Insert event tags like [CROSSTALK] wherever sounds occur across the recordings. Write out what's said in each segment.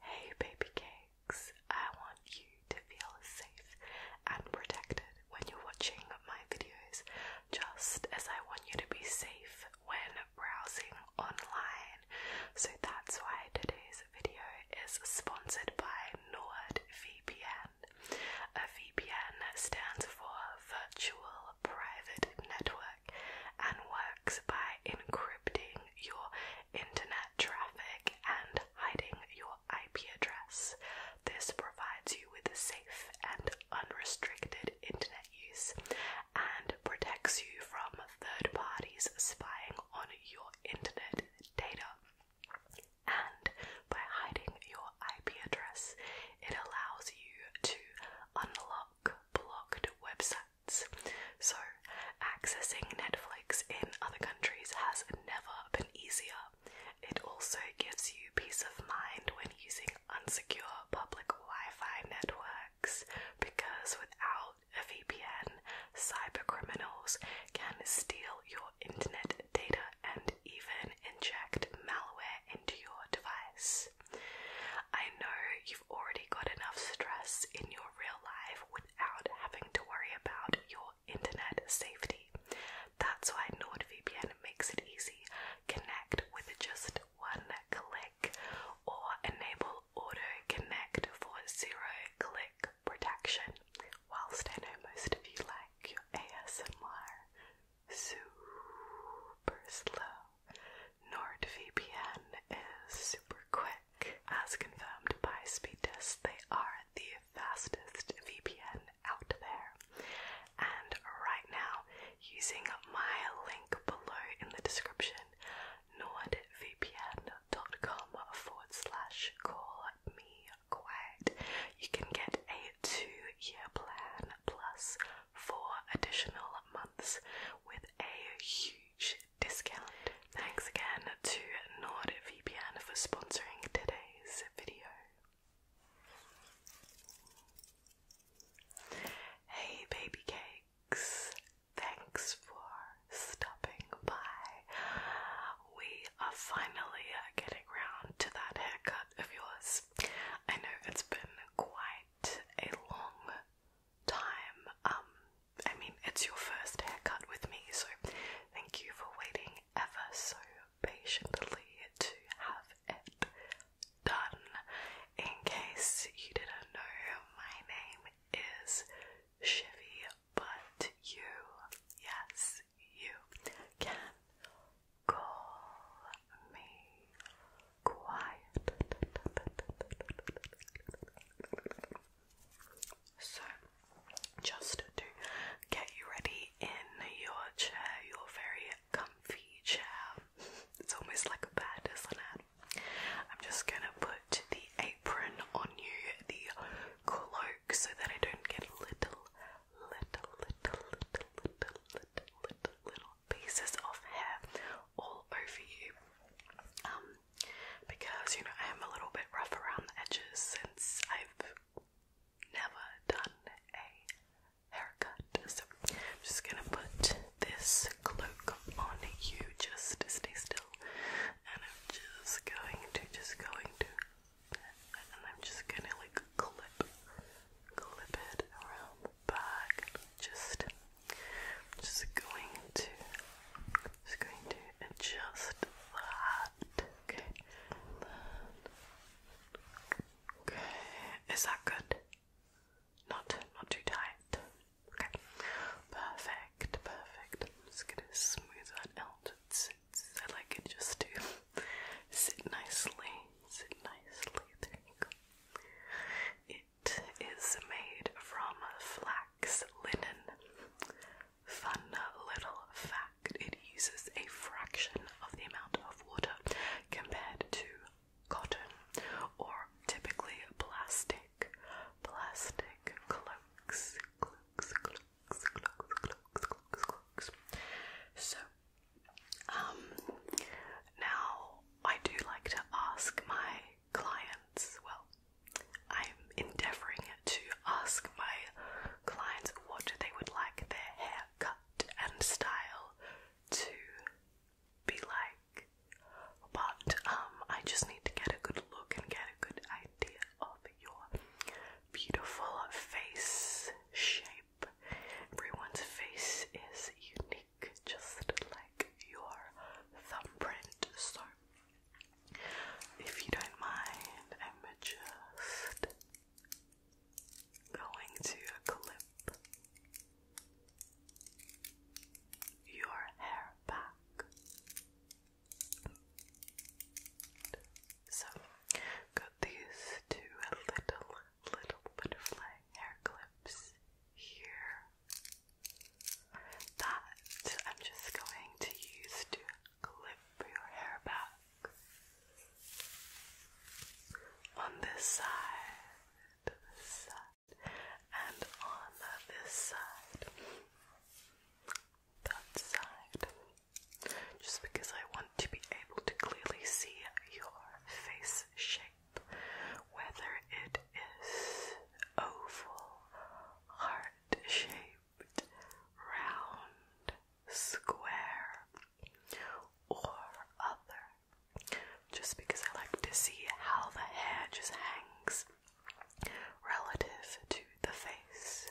Hey, baby cakes, I want you to feel safe and protected when you're watching my videos, just as I want you to be safe when browsing online. So that's why today's video is sponsored by NordVPN. A VPN stands for Virtual Private Network and works by encrypting your internet traffic and hiding your IP address. This provides you with a safe and unrestricted internet use and protects you from third parties spying on your internet data. And by hiding your IP address, it allows you to unlock blocked websites so, accessing Netflix in other countries has never been easier. It also gives you peace of mind when using unsecure public Wi Fi networks because without a VPN, cybercriminals can steal your internet data and even inject malware into your device. I know you already got enough stress in your real life without having to worry about your internet safety. That's why NordVPN makes it easy. Connect with just one click or enable auto connect for zero click protection. Whilst I know most of you like your ASMR super slow. NordVPN is super quick. As confirmed by speedtest. they are the fastest VPN out there. And right now, using my link below in the description, nordvpn.com forward slash call me quiet, you can get a two year plan plus four additional months with a huge discount. Thanks again to NordVPN for sponsoring today's video. Hey baby cakes, thanks for stopping by. We are finally getting round to that haircut of yours. I know it's been quite a long time. Um, I mean, it's your first haircut with me, so thank you for waiting ever so patiently to have it done. In case you didn't know, my name is Chevy, but you, yes, you can call me quiet. So, just to get you ready in your chair, your very comfy chair, it's almost like a bed, isn't it? I'm just gonna put the apron on you, the cloak, so that I don't get little, little, little, little, little, little, little pieces of hair all over you um, because you know I am a little bit rough around the edges since I've never done a haircut. So I'm just gonna put this cloak on you just to stay still and I'm just going to just going to and I'm just gonna like clip clip it around the back just just going to just going to adjust that. Okay. That. Okay. Is that good? Not not too tight. Okay. Perfect, perfect. I'm just gonna smooth that out. It's, it's, I like it just to [LAUGHS] sit nicely. Sit nicely. There you go. Is made from flax linen. Fun little fact it uses a fraction of the amount of water compared to cotton or typically plastic. Plastic So, um, now I do like to ask my clients, well, I'm endeavouring to ask my clients what they would like their hair cut and style to be like. But um, I just need to get a good look and get a good idea of your beautiful face shape. Everyone's face is unique just like your thumbprint. So if you don't mind, I'm just going to clip your hair back. So got these two little little butterfly hair clips here that I'm just going to use to clip your hair back on this side, this side, and on this side, that side. Just because I want to be able to clearly see your face shape whether it is oval, heart shaped, round, square, or other. Just because I like to see how the hair just hangs relative to the face.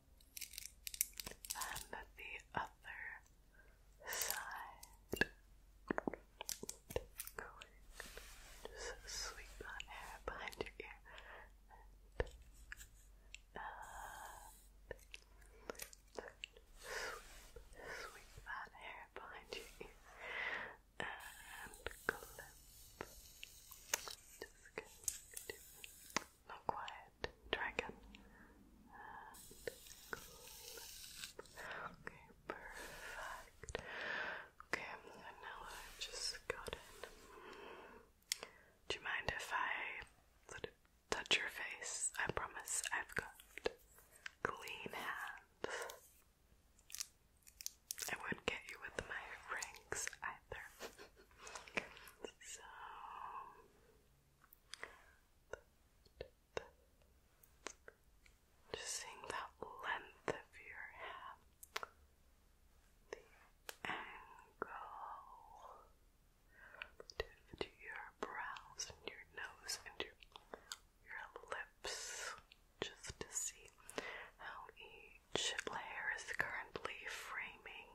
and the other side. Going, just sweep that hair behind your ear and, sweep, sweep that hair behind your ear and clip. Just kidding, not quiet dragon. okay, perfect. Okay, and now i just got it. Do you mind if I touch your face? I promise I've got clean hands. I won't get you with my rings either. [LAUGHS] so just seeing that length of your hair, the angle to your brows and your nose and your your lips, just to see how each layer is currently framing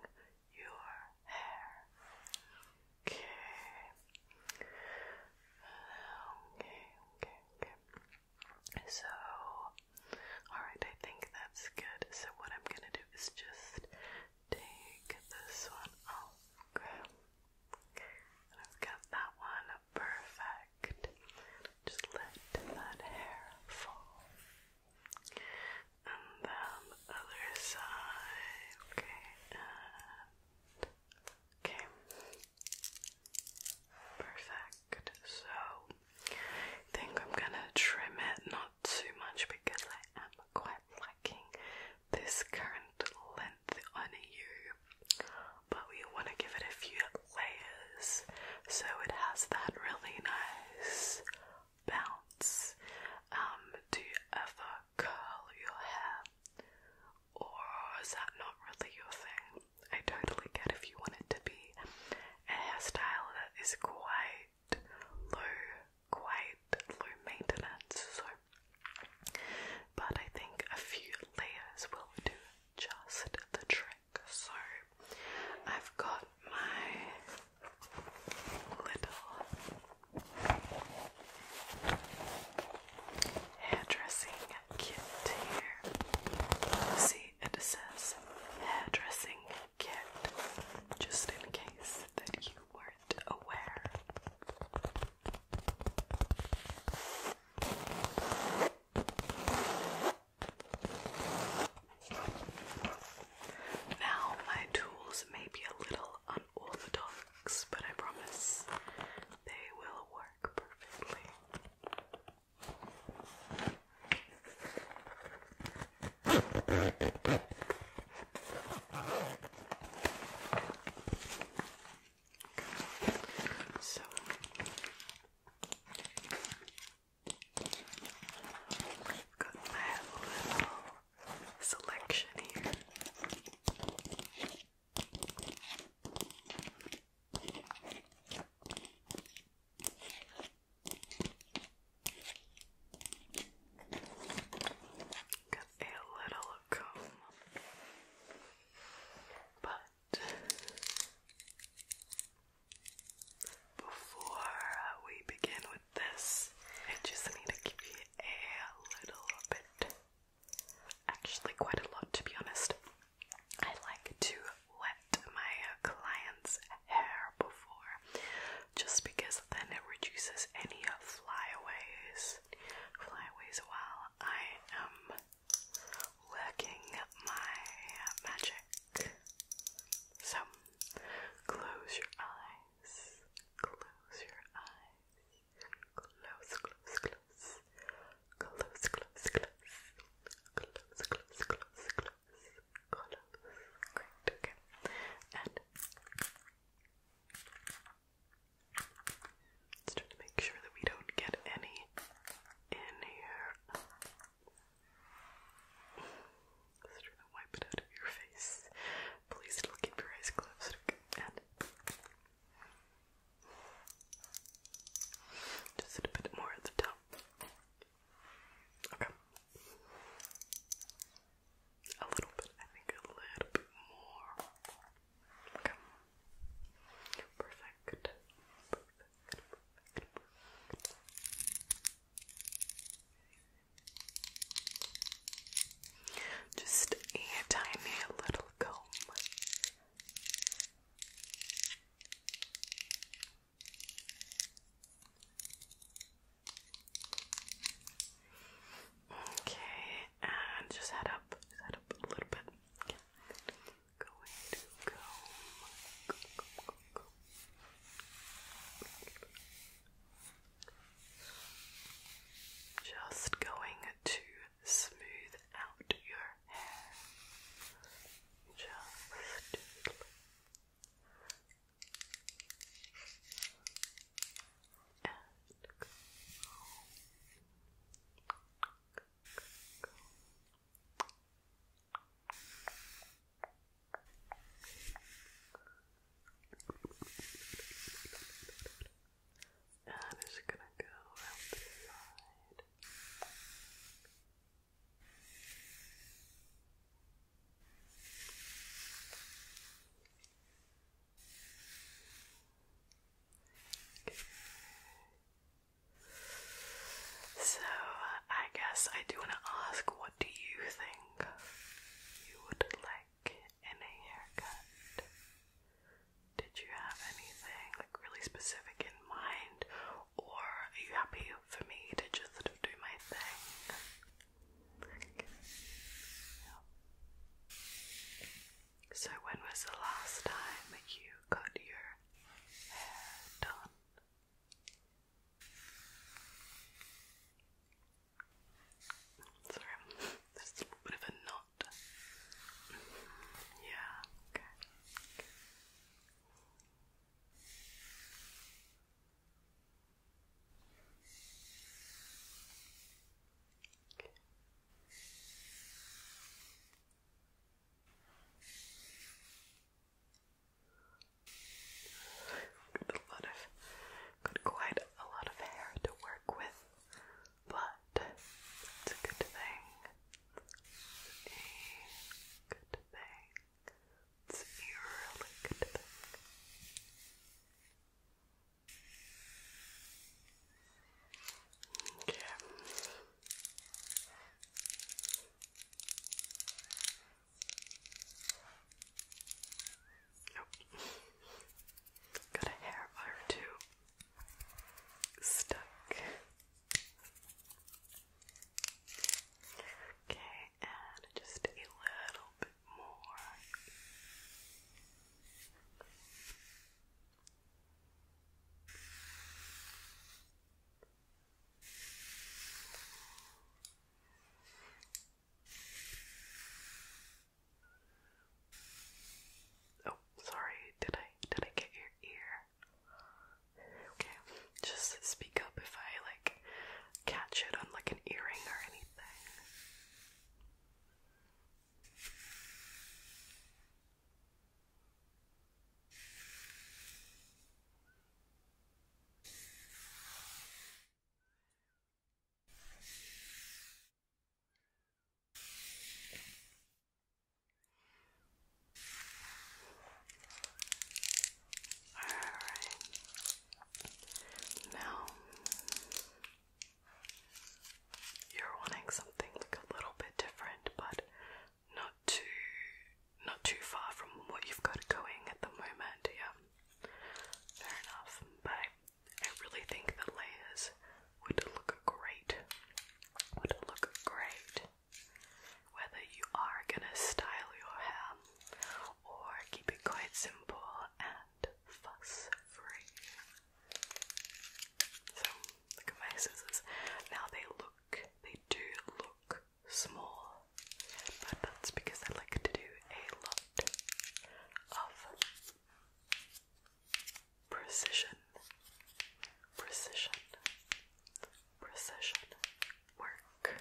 your hair. Okay. Okay, okay, So, alright, I think that's good. So, what I'm gonna do is just take this one off. I've got that one perfect. Just let that hair fall and the other side. Okay, okay, perfect. So I think I'm gonna trim it not too much because I am quite liking this current length on you. But we want to give it a few layers so it has that really nice bounce. Um, do you ever curl your hair? Or is that not really your thing? I totally get if you want it to be a hairstyle that is quite low, quite low maintenance, so but I think a few layers will do just the trick. So I've got my little hairdressing kit here. See, it says hairdressing kit, just in case that you weren't aware. Now, my tools may be a little unorthodox, but I promise they will work perfectly. So I've got my little selection here. Got a little comb, but before we begin with this, I just need to give you a little bit, actually, quite a lot to be honest. I like to wet my client's hair before just because then it reduces any flyaways. Flyaways while I am working my magic. So Close your eyes. Close your eyes. Close, close, close. Close, close, close. Close, close, close, close. Close. Great, okay. And just trying to make sure that we don't get any in here. Just try to wipe it out of your face. Please still keep your eyes closed. just a bit more at the top. Okay. A little bit, I think a little bit more. Okay. Perfect. Perfect. Perfect. Perfect. Just a tiny little comb. Okay, and just head up, head up a little bit. Just going to smooth out your hair. Just and i gonna go around Okay. So, I guess I do want to ask do you think you would like in haircut? Did you have anything like really specific in mind, or are you happy for me to just do my thing? So, when was the last time you got your hair done? Sorry, there's [LAUGHS] a little bit of a knot. Yeah, okay. okay. Got a lot of, quite a lot of hair to work with, but it's a good thing. A good thing. It's a good thing. Okay. Oh. Got a hair or two stuck. Okay, and just a little bit more. Oh, sorry. Did I did I get your ear? Okay, just speak up if I like catch it on like an earring or anything. Alright. Now you're wanting something like a little bit different, but not too not too far from what you've got going at the moment, yeah. Fair enough, but I really think the layers would look great. Would look great. Whether you are gonna style your hair or keep it quite simple and fuss free. So look at my scissors. Now they look, they do look small, but that's because I like to do a lot of precision, precision, precision work.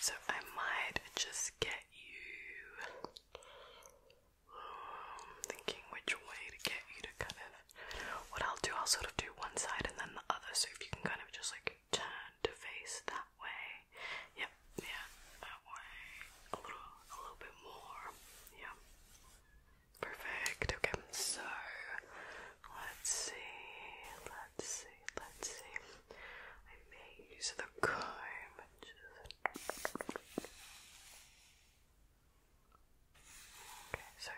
So I might just get you. [SIGHS] thinking which way to get you to kind of. What I'll do, I'll sort of do one side and then the other, so if you can kind of just like turn to face that way. Yep, yeah, that way. A little, a little bit more. Yeah. Perfect. Okay, so let's see, let's see, let's see use the comb Okay, so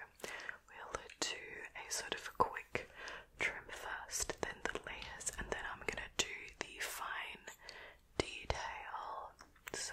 we'll do a sort of a quick trim first, then the layers, and then I'm gonna do the fine detail. So.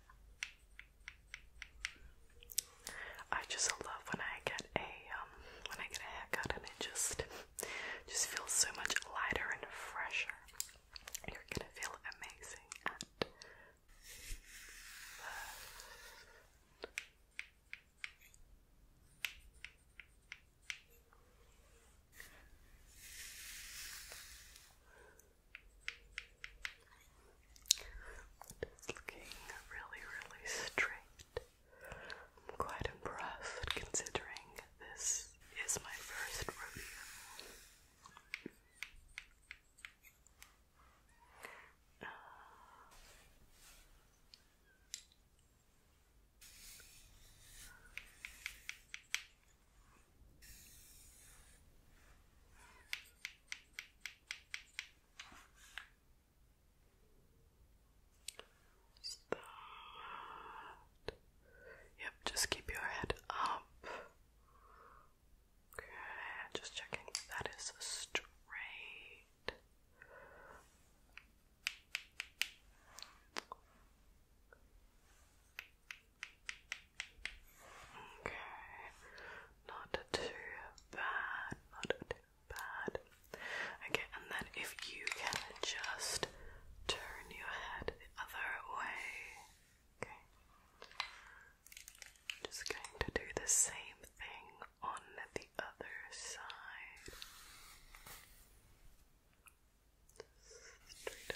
I just love when I get a um, when I get a haircut and it just just feels so much lighter and fresher. You're gonna feel amazing it's looking really, really straight. I'm quite impressed considering this is my first rodeo. Just Yep, just keep your head up. Okay, just checking that is straight. Okay, not too bad, not too bad. Okay, and then if you can just turn your head the other way. Okay. Just going to do the same thing on the other side straight up front. Good.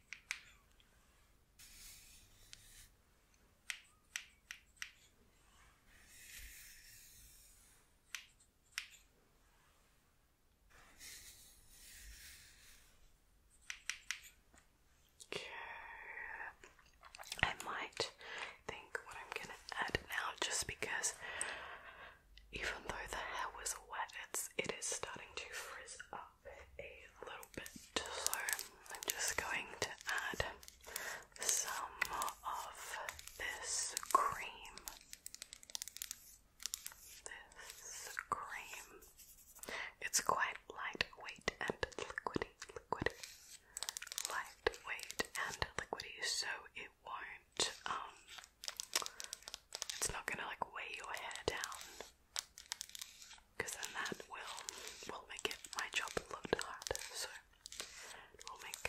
Okay. I might think what I'm gonna add now just because even though the hair was wet it's starting to frizz up a little bit, so I'm just going to add some of this cream. This cream. It's quite lightweight and liquidy, liquidy, lightweight and liquidy, so it won't, um, it's not gonna like weigh your hair down because then that will will make it my job a lot harder. So it will make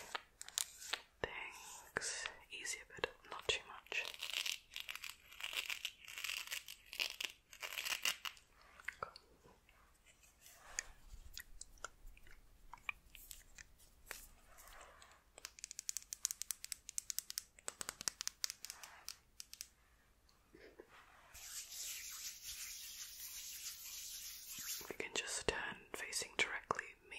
things easier, but not too much. We can just turn facing directly me.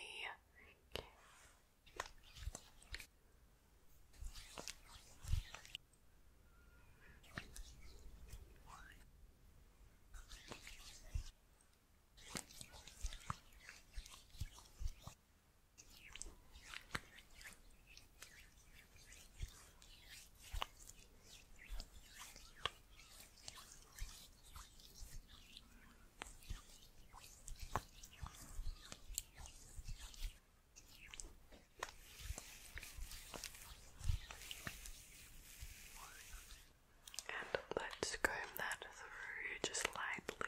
And let's comb that through just lightly.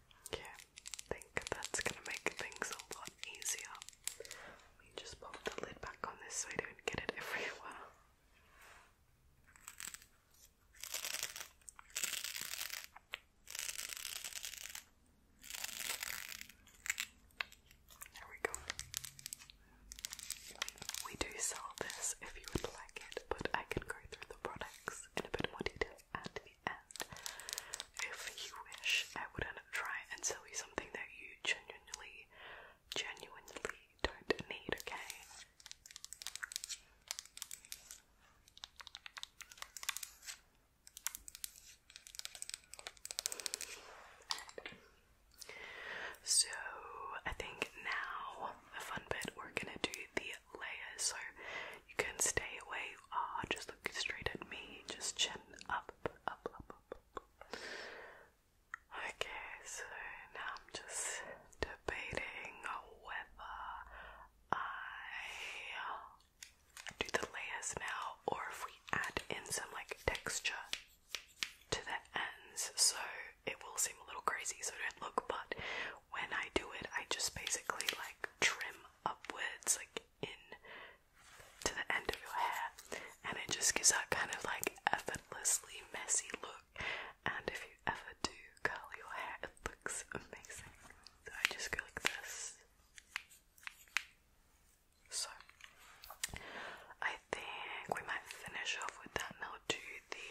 Yeah, think that's gonna make things a lot easier. Let me just pop the lid back on this so we don't get it everywhere. There we go. We do sell this if you would like it, but I can go through the products in a bit more detail at the end. If you wish, I would try and sell you something that you genuinely, genuinely don't need, okay? So, I think now the fun bit we're gonna do the layers, so you can stay where you are, just look straight at me, just chin up, up, up, up, up. Okay, so now I'm just debating whether I do the layers now or if we add in some like texture to the ends so it will seem a little crazy so don't look but when I do it I just basically like trim upwards, like in to the end of your hair, and it just gives that kind of like effortlessly messy look. And if you ever do curl your hair, it looks amazing. So I just go like this. So I think we might finish off with that, and I'll do the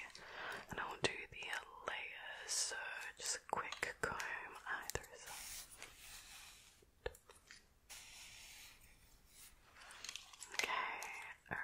and I'll do the layers. just quick thick comb either side. Okay, alright.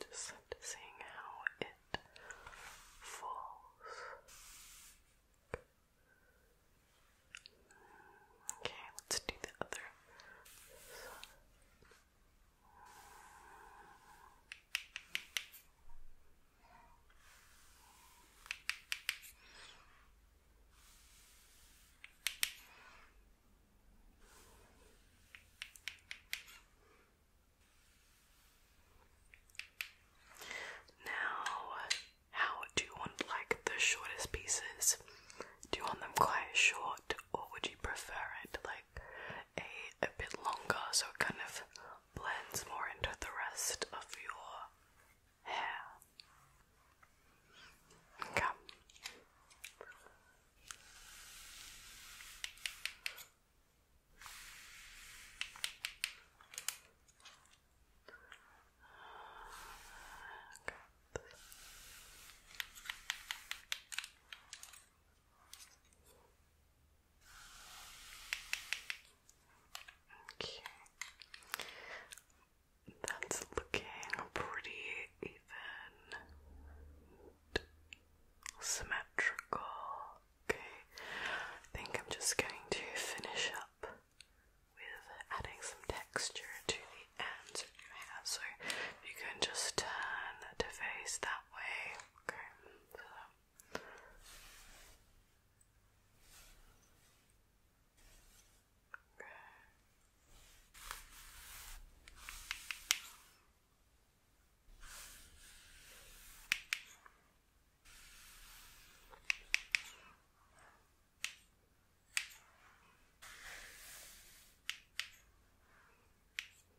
Just seeing how it falls. Okay, let's do the other. Now, how do you want like the shortest pieces? Do you want them quite short or would you prefer it like a, a bit longer so it kind of blends more into the rest of your hair? Okay. Okay. That's looking pretty even symmetrical. Okay. I think I'm just going to finish up with adding some texture to the ends of your hair. So you can just turn to face that that way. Okay. So. Okay.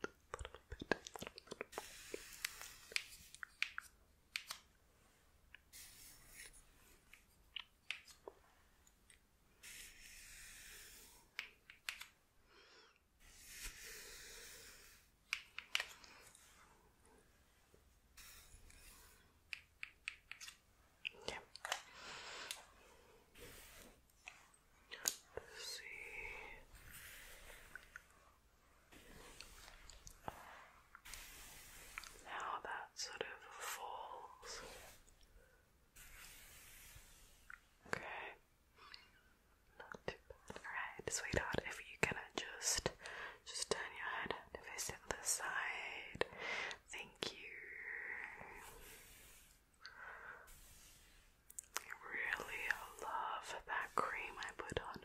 bit, little Let's see. Now that sort of falls. Okay. Not too bad. Alright, sweetheart, if you can adjust, just turn your head to the other side. Thank you. Really love that cream I put on.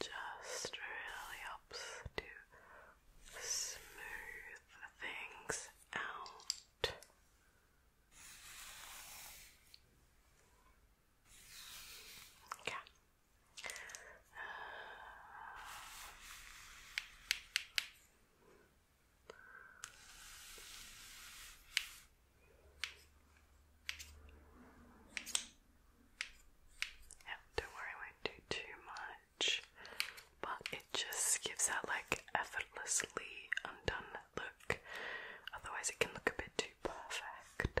Just really helps to smooth things out. Okay. Uh, yeah, don't worry, I won't do too much, but it just gives that like effortlessly undone look. Otherwise, it can look a bit too perfect.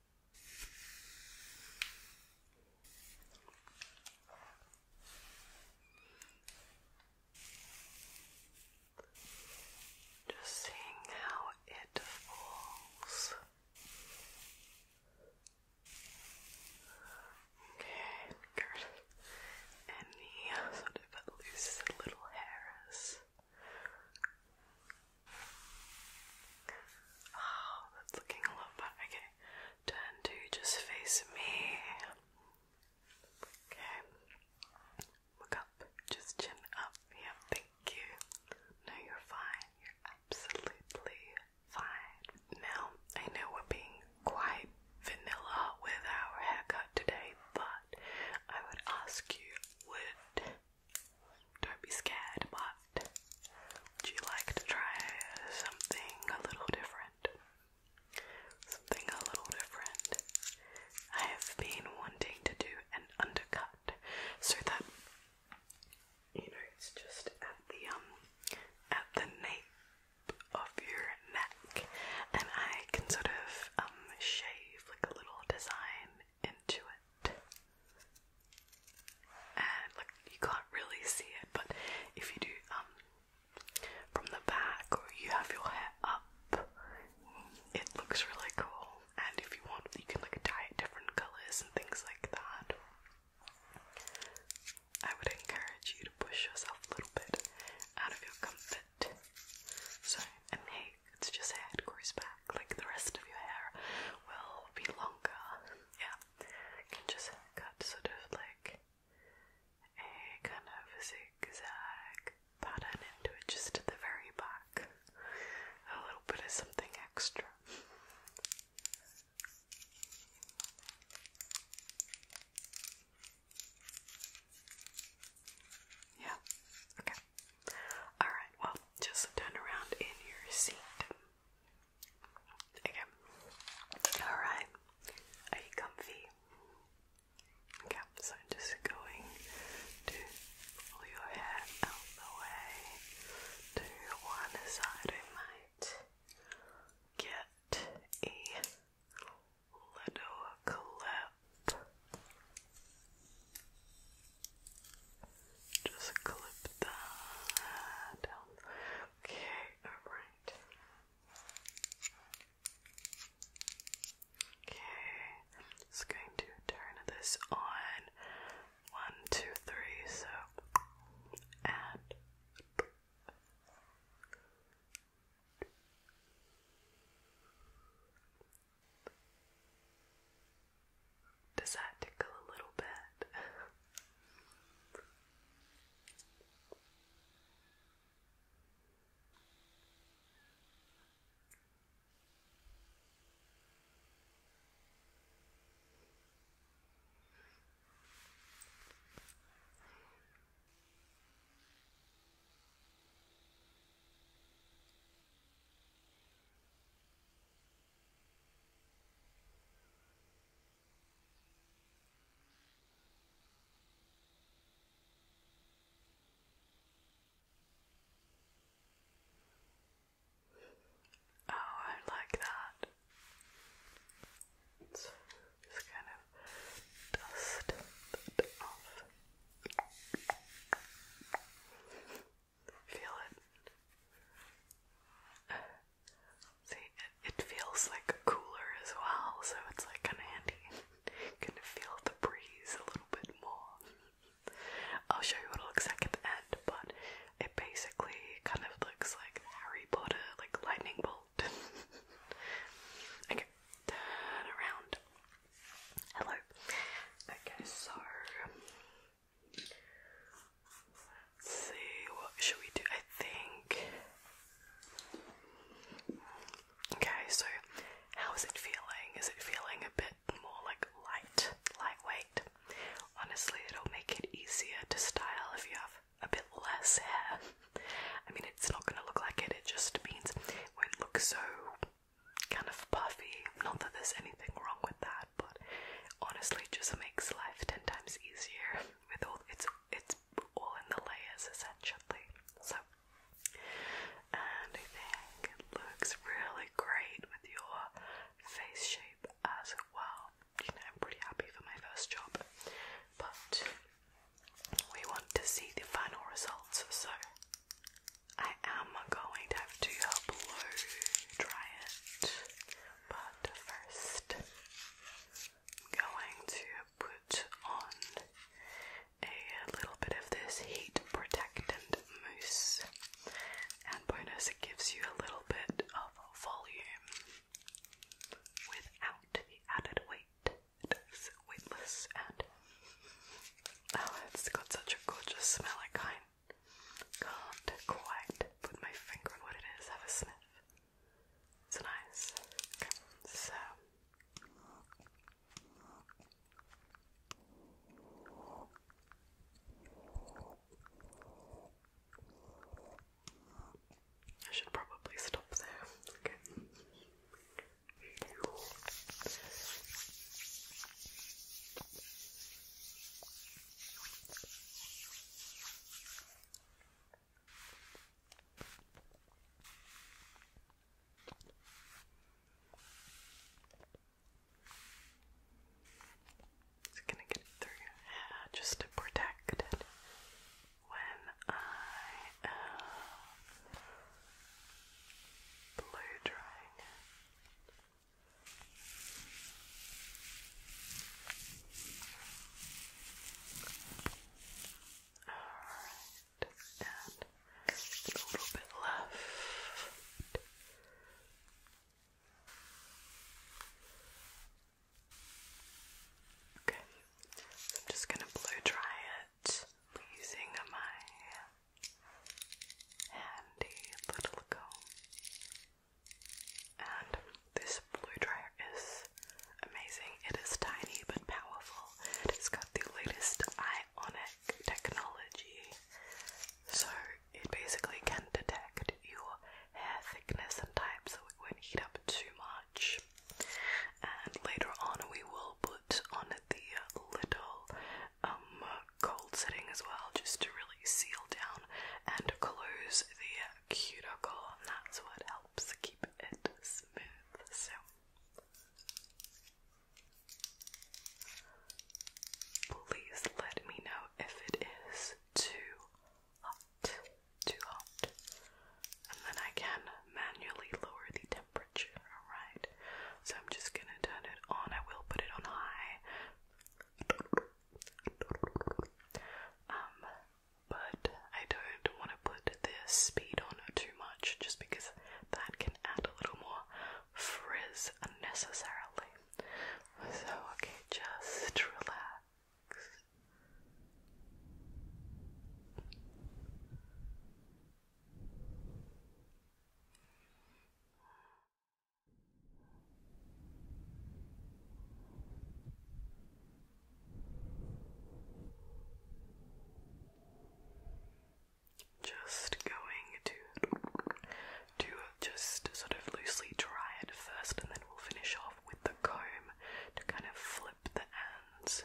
Just seeing how it falls. Okay, good. Any sort of loose little hairs. Oh, that's looking a lot better. Okay, turn to just face me. Okay, look up, just chin up. Yeah, thank you. No, you're fine. You're absolutely fine. Now, I know we're being quite vanilla with our haircut today, but I would ask you would don't be scared, but would you like to try something a little different? Something a little different. I have been wanting to do an undercut so that you know it's just at the um at the nape of your neck and I can sort of um shave like a little design into it and like you can't really see it, but if you do um, from the back or you have your hair up, it looks really cool. And if you want, you can like dye it different colors and things like that. I would encourage you to push yourself a little bit out of your comfort So, and hey, it's just hair, it back like the rest of your hair will be longer. Yeah, you can just cut sort of like a kind of zigzag pattern into it just at the very back. A little bit of something extra. Yeah, okay. Alright, well, just turn around in your seat. Okay. Alright. Are you comfy? Okay, so I'm just going to pull your hair out the way to one side. I might get a little clip. Just clip that down. Okay, alright. Okay, just going to turn this on. One, two, three, so and does that tickle a little bit? Oh, I like that. just kind of dust off. Feel it. See, it, feels like cooler as well, so it's like kind of handy. You can feel the breeze a little bit more. I'll show you what it looks like at the end, but it basically kind of looks like Harry Potter, like lightning bolt. [LAUGHS] okay, turn around. Hello. Okay, so Let's see, what should we do? I think. Okay, so how is it feeling? Is it feeling a bit more like light, lightweight? Honestly, it'll make it easier to style if you have a bit less hair. [LAUGHS] I mean, it's not going to look like it, it just means it won't look so kind of puffy. Not that there's anything wrong with that, but honestly, just makes life ten times easier [LAUGHS] with all it's it's all in the layers essentially. So, and I think it looks really great with your face shape as well. You know, I'm pretty happy for my first job, but we want to see the final results. So, I am going to have to blow dry it, but first I'm going to put on a little bit of this heat protectant mousse, and bonus, it gives you a little bit of volume without the added weight. It is weightless and oh, it's got such a gorgeous smell. I can't quite put my finger on what it is. Have a sniff. It's nice. so. I should probably stop there. It's gonna get through uh, just to protect it when I uh, blow drying a little bit left. Okay, I'm just going to blow dry it using my handy little comb. And this blow dryer is amazing. It is tiny but powerful. It's got the latest ionic technology. So it basically can detect your hair thickness and type so it won't heat up too much. And later on, we will put on the little um, cold setting as well, just to really seal down and close the cuticle, and that's what helps keep it smooth. So. Please let me know if it is too hot, too hot, and then I can manually lower the temperature, alright? So I'm just gonna turn it on. I will put it on high. Um, but I don't want to put the speed on too much just because that can add a little more frizz unnecessarily. So, okay, just relax. Just going to to just sort of loosely dry it first, and then we'll finish off with the comb to kind of flip the ends.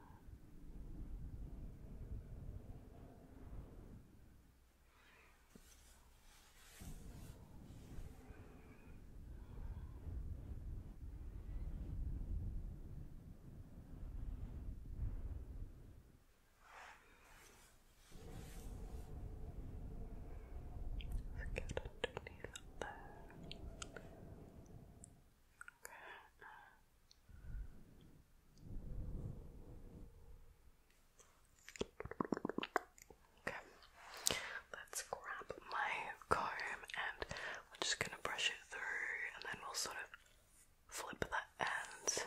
Forget underneath up there. Okay. Okay, let's grab my comb and we're just gonna brush it through and then we'll sort of flip the ends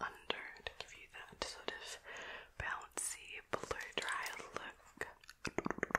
under to give you that sort of bouncy, blow dry look.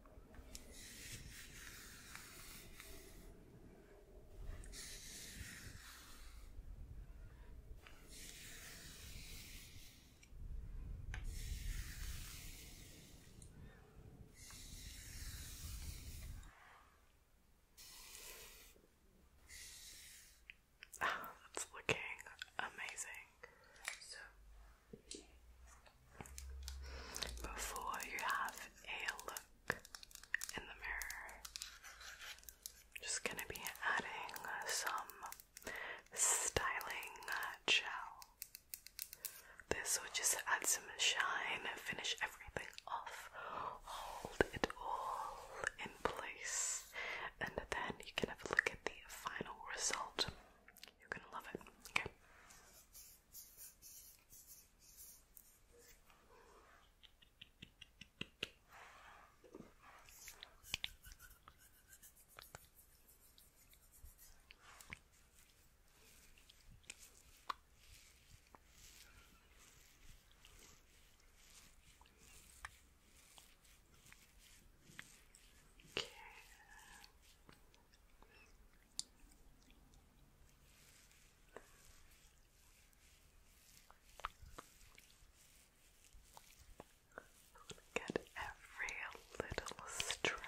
[SIGHS] That's looking amazing. So before you have a look in the mirror. I'm just going to be adding some styling uh, gel. This will just add some shine, finish everything off, hold it all in place, and then you can have a look at the final result. You're gonna love it. Okay. Okay. Get every little strand.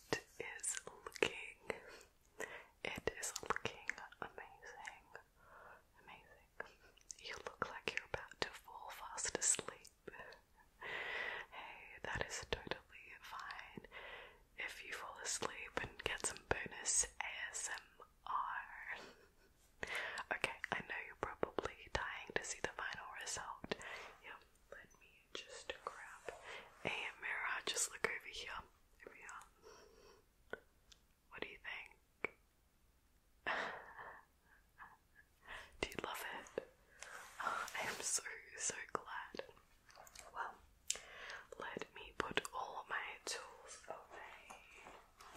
It is looking, it is looking amazing. Amazing. You look like you're about to fall fast asleep. hey, that is totally fine. If you fall asleep and get some bonus ASMR. okay, I know you're probably dying to see the final result. Yep, let me just grab a mirror. Just look over here. Over here. What do you think? [LAUGHS] do you love it? I am so, so glad. Well, let me put all my tools away.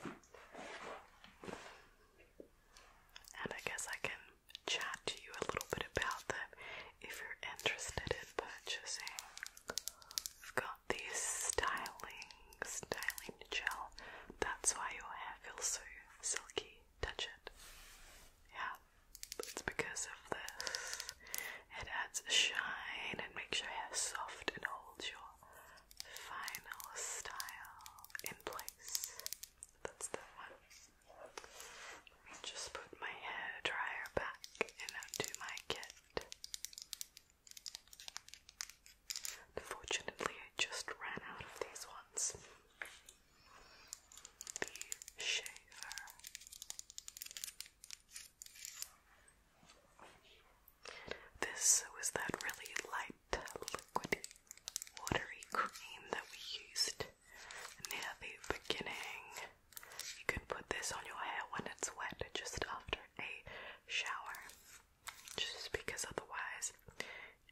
And I guess I can chat to you a little bit about them if you're interested in purchasing got the styling, styling gel. That's why your hair feels so silky. Touch it. Yeah, it's because of this. It adds shine and makes your hair soft and holds your final style in place. That's that one. Let me just put my hair dryer back and undo my kit. Unfortunately, I just ran out of these ones. The shaver. This was that really light, liquidy, watery cream that we used near the beginning. You can put this on your hair when it's wet, just after a shower just because otherwise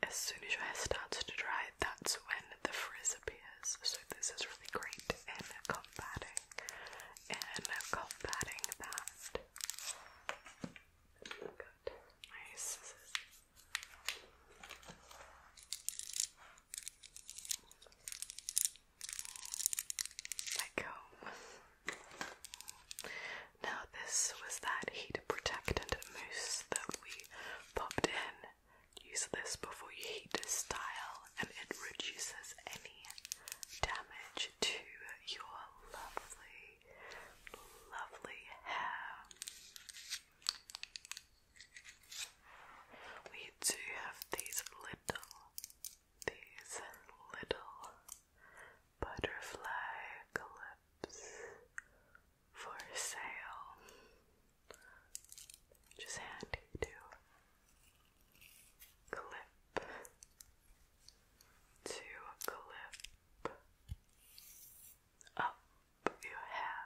as soon as your hair starts to dry that's when the frizz appears so this is really great in combating in combating that good nice like home. Now, this was that heat protectant mousse that we popped in. Use this before you heat style, and it reduces any damage to your lovely, lovely hair. We do have these little, these little butterfly clips for sale. Just handy to clip to clip up your hair.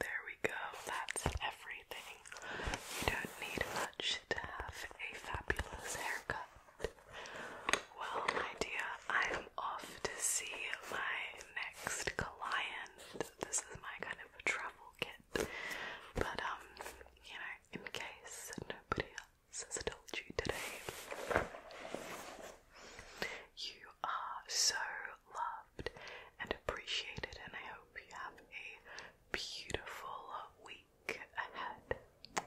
There we go, that's everything. You don't need much to have a fabulous haircut. Well, my dear, I'm off to see my next client. This is my kind of a travel kit, but um, you know, in case nobody as I told you today. You are so loved and appreciated, and I hope you have a beautiful week ahead.